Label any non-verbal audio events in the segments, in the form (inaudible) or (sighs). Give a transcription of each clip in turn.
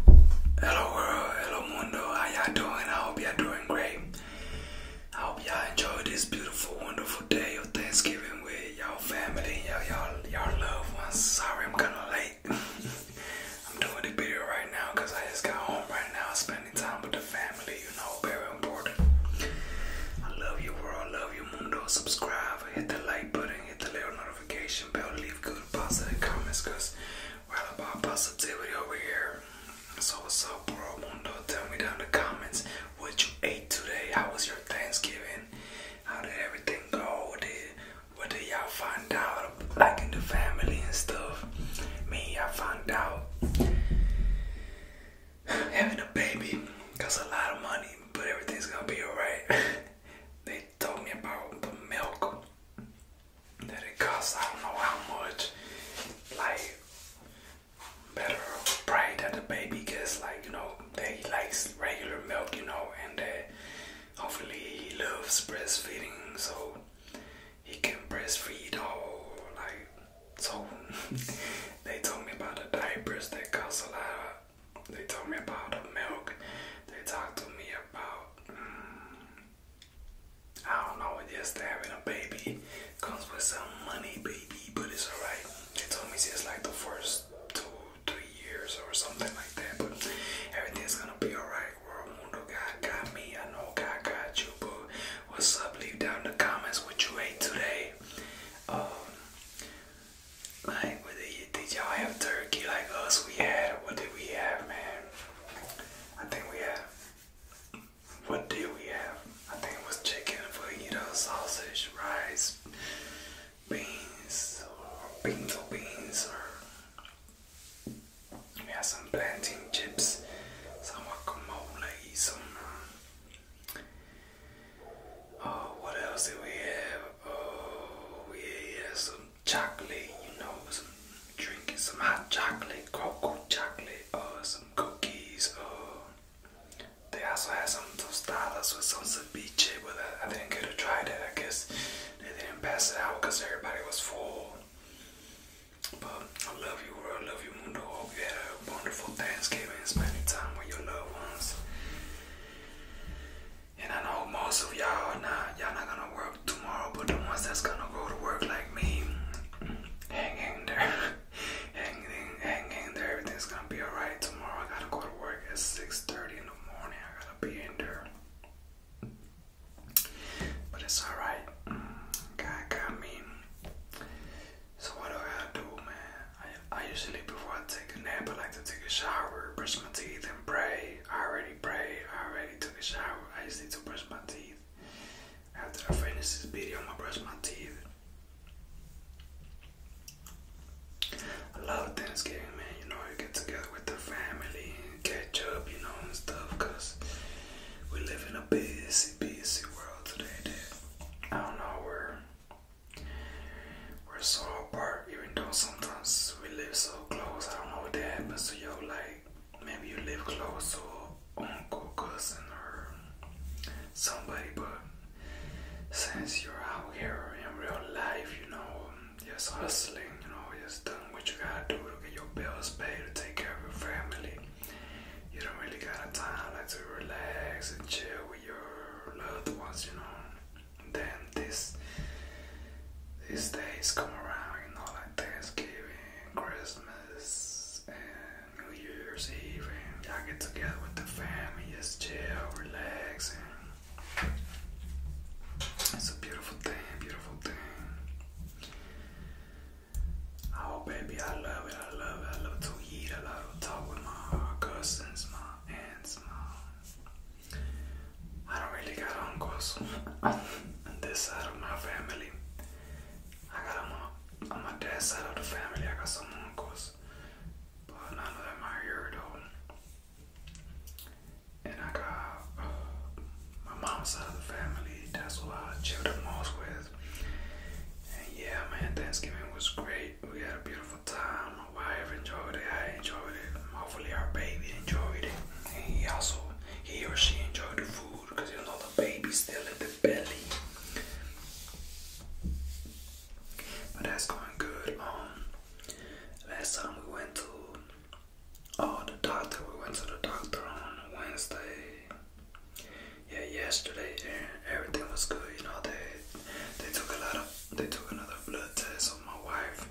Hello world, hello mundo, how y'all doing? I hope y'all doing great. I hope y'all enjoy this beautiful, wonderful day of Thanksgiving with y'all family, y'all y'all y'all loved ones. Sorry I'm kinda late. (laughs) I'm doing the video right now because I just got home right now spending time with the family, you know, very important. I love you world, I love you mundo. Subscribe, hit the like button, hit the little notification bell, leave good positive comments because we're all about positivity over here. So what's up, bro? Mundo? Tell me down in the comments what you ate today. How was your Thanksgiving? How did everything go? What did, what did y'all find out? Like in the family and stuff. Me, I found out having a baby costs a lot of money, but everything's gonna be alright. (laughs) they told me about the milk that it costs, I don't know how much, like better pride that the baby gets, like, you know, They likes regular milk, you know, and that hopefully he loves breastfeeding so he can breastfeed all, like, so (laughs) they told me about the diapers that cost a lot, they told me about the milk, they talked to me about I don't know, just having a baby comes with some money, baby, but it's alright. They told me it's like the first two, three years or something like that, but everything's gonna be alright. World Mundo, God got me. I know God got you, boo. What's up? Leave down in the comments what you ate today. Um, like, did, did y'all have turkey like us? Oh, we had, what did we have, man? I think we had, what did we have? I think it was chicken, you know, sausage, rice, beans, or beans or beans, or we had some plantain chips, some guacamole, uh, some. Oh, what else did we have? Oh, yeah, some chocolate, you know, drinking some hot chocolate, cocoa chocolate, uh, some cookies. Uh, they also had some tostadas with some ceviche, but I, I didn't get to try that. I guess they didn't pass it out because everybody was full. But I love you, world. I love you, mundo. Hope wonderful Thanksgiving, spending time with your loved ones. And I know most of y'all not y'all not gonna work tomorrow, but the ones that's gonna go to work like me, hanging there, (laughs) hanging, in, there. Everything's gonna be alright tomorrow. I gotta go to work at 6:30 in the morning. I gotta be in there, but it's alright. God got me. So what do I do, man? I usually before I take a nap, I like to take a shower, brush my teeth, and pray. I already prayed, I already took a shower, I just need to brush my teeth. After I finish this video, I'm gonna brush my teeth. A lot of things Thanksgiving, man. You know, you get together with the family and catch up, you know, and stuff. Cause we live in a busy, busy world today. That I don't know where we're so apart, even though sometimes we live so close. I don't know what that happens to you. Like, maybe you live close to uncle, cousin, or somebody, but since you're out here in real life, you know, just hustling, you know, just doing what you gotta do to get your bills paid, to take care of your family. You don't really got a time like to relax and chill with your loved ones, you know. And then this these days come around, you know, like Thanksgiving, Christmas, and New Year's Eve, and y'all get together with the family, just chill, relax, and it's a beautiful thing, beautiful thing. Oh, baby, I love it, I love it, I love to eat, I love to talk with my cousins, my aunts, my I don't really got uncles on (laughs) this side of my family. I got on my, on my dad's side of the family, I got some uncles, but none of them are here though. And I got uh, my mom's side of the family, that's who I chilled the most with. And yeah, man, Thanksgiving was great we had a beautiful time. My wife enjoyed it. I enjoyed it. Hopefully, our baby enjoyed it. And he also, he or she enjoyed the food because you know the baby's still in the belly. But that's going good. Um, last time we went to oh the doctor. We went to the doctor on Wednesday. Yeah, yesterday, and everything was good. You know they they took a lot of they took another blood test my wife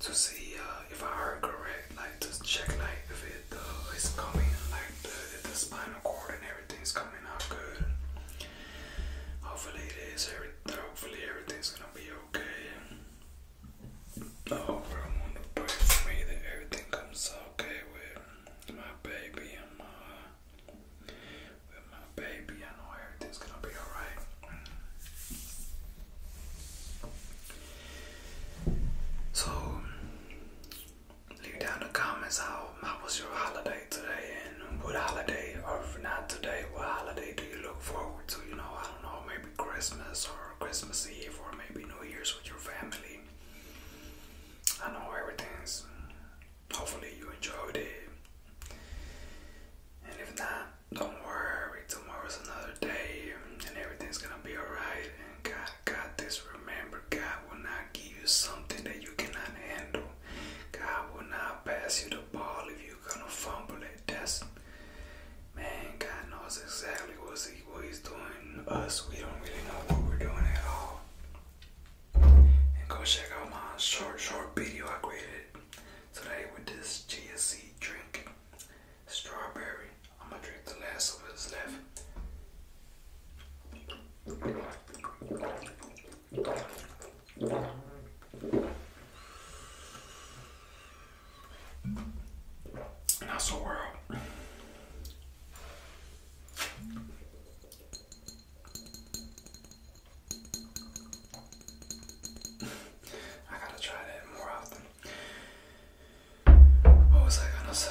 to see uh, if I heard correct, like to check like if it uh, is coming, like the, the spinal cord and everything's coming out good. Hopefully it is. Every, hopefully everything's gonna be okay. I hope everyone will pray for me that everything comes okay with my baby and my with my baby. I know everything's gonna be alright. So, leave down the comments how how was your holiday today, and what holiday, or not today, what holiday do you look forward to? You know, I don't know, maybe Christmas or Christmas Eve or maybe New Year's with your family. I know everything's hopefully you enjoyed it. And if not, don't worry, tomorrow's another day and everything's gonna be alright. And God got this. Remember, God will not give you something that you cannot handle. God will not pass you the ball if you're gonna fumble it. That's man, God knows exactly what's he, what he's doing. Us, we don't really know what we're doing at all. And go check out my short, short video I created Today with this G S C drink, strawberry. I'm gonna drink the last of what's left. And that's (sighs) I gotta try that more often. What was I gonna say?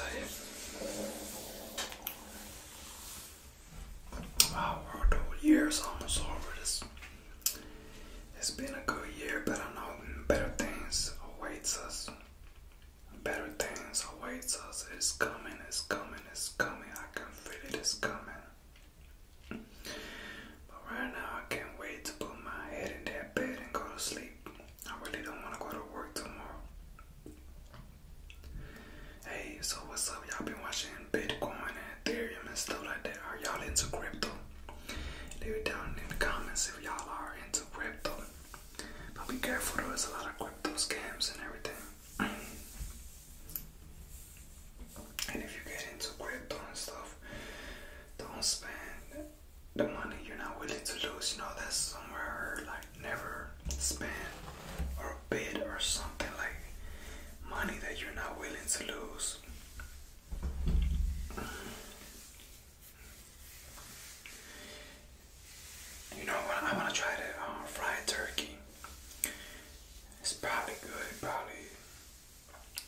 Wow, year's almost over. This it's been a good year, but I know better things awaits us. Better things awaits us. It's coming, it's coming, it's coming. I can feel it, it's coming. But right now, I can't wait to put my head in that bed and go to sleep. I really don't want to go to work tomorrow. Hey, so what's up? Y'all been watching Bitcoin and Ethereum and stuff like that. Are y'all into crypto? Leave it down in the comments if y'all are into crypto. But be careful, there's a lot of crypto scams and everything. And if you get into crypto and stuff, don't spend the money you're not willing to lose. You know, that's somewhere like never spend or bid or something like money that you're not willing to lose. You know I want to try the uh, turkey. It's probably good, probably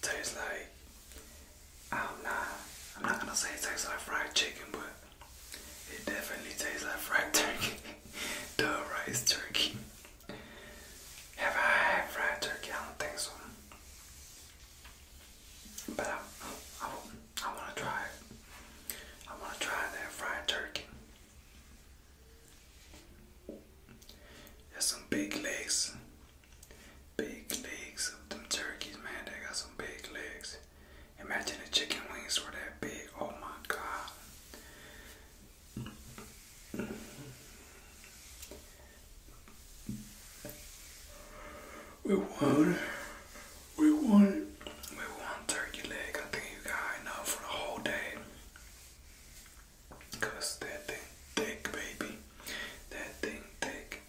tastes like I don't know. I'm not i am not going to say it tastes like fried chicken, but it definitely tastes like fried (laughs) turkey. Duh rice turkey. Have I had fried turkey? I don't think so. But I, I, want to try I want to try that fried turkey. There's some big legs. Big legs of them turkeys, man. They got some big legs. Imagine the chicken wings were that big. Oh my god. We won. We won. We won turkey leg. I think you got enough for the whole day. Cause that thing take, baby. That thing take.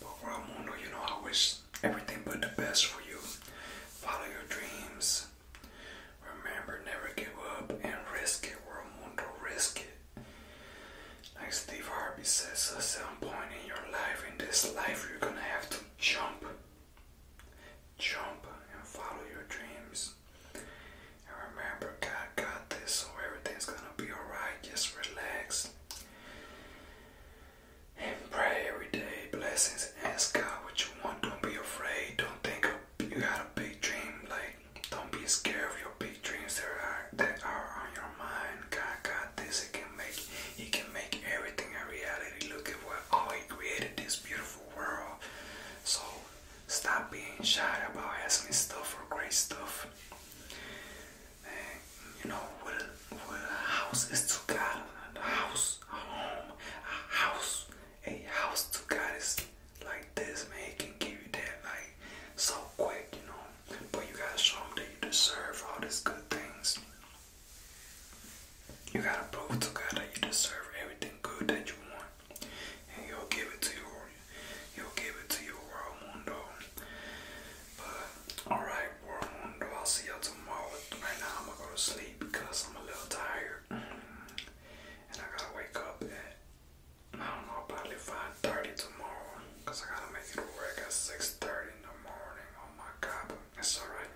But Ramundo, you know, I wish everything but the best for you. Follow your dreams. Remember, never give up and risk it, Ramundo. Risk it. Like Steve Harvey says, at some point in your life, in this life, you're gonna have to jump. Jump and follow your dreams. And remember, God got this, so everything's gonna be alright. Just relax and pray every day. Blessings. Ask God what you want. Don't be afraid. Don't think of, you got a big dream. Like, don't be scared of your big dreams that are that are on your mind. God got this. He can make He can make everything a reality. Look at what how He created this beautiful world. So stop being shy about asking stuff for great stuff. And you know what a, house is to God. A house, a home, a house, a house to God is like this, man. He can give you that like so quick, you know. But you gotta show him that you deserve all these good things. You gotta prove to God that you deserve everything good that you want. And he'll give it to you. He'll give it to you, world mundo. But alright, world mundo, I'll see y'all tomorrow. Right now I'm gonna go to sleep because I'm a little tired. And I gotta wake up at I don't know, probably 5.30 tomorrow. Because I gotta make it work at 6.30 in the morning. Oh my god, it's alright.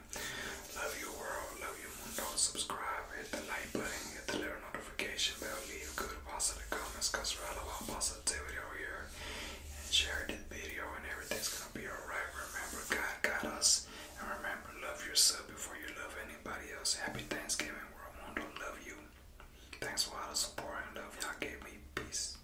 Love your world, love your moon dog. Subscribe, hit the like button, hit the little notification bell, leave a good positive comments because we're all about positivity over here. And share this video and everything's gonna be alright. Remember, God got us. And remember, love yourself before you love anybody else. Happy Thanksgiving, world moon dog. Love you. Thanks for all the support and love y'all gave me. Peace.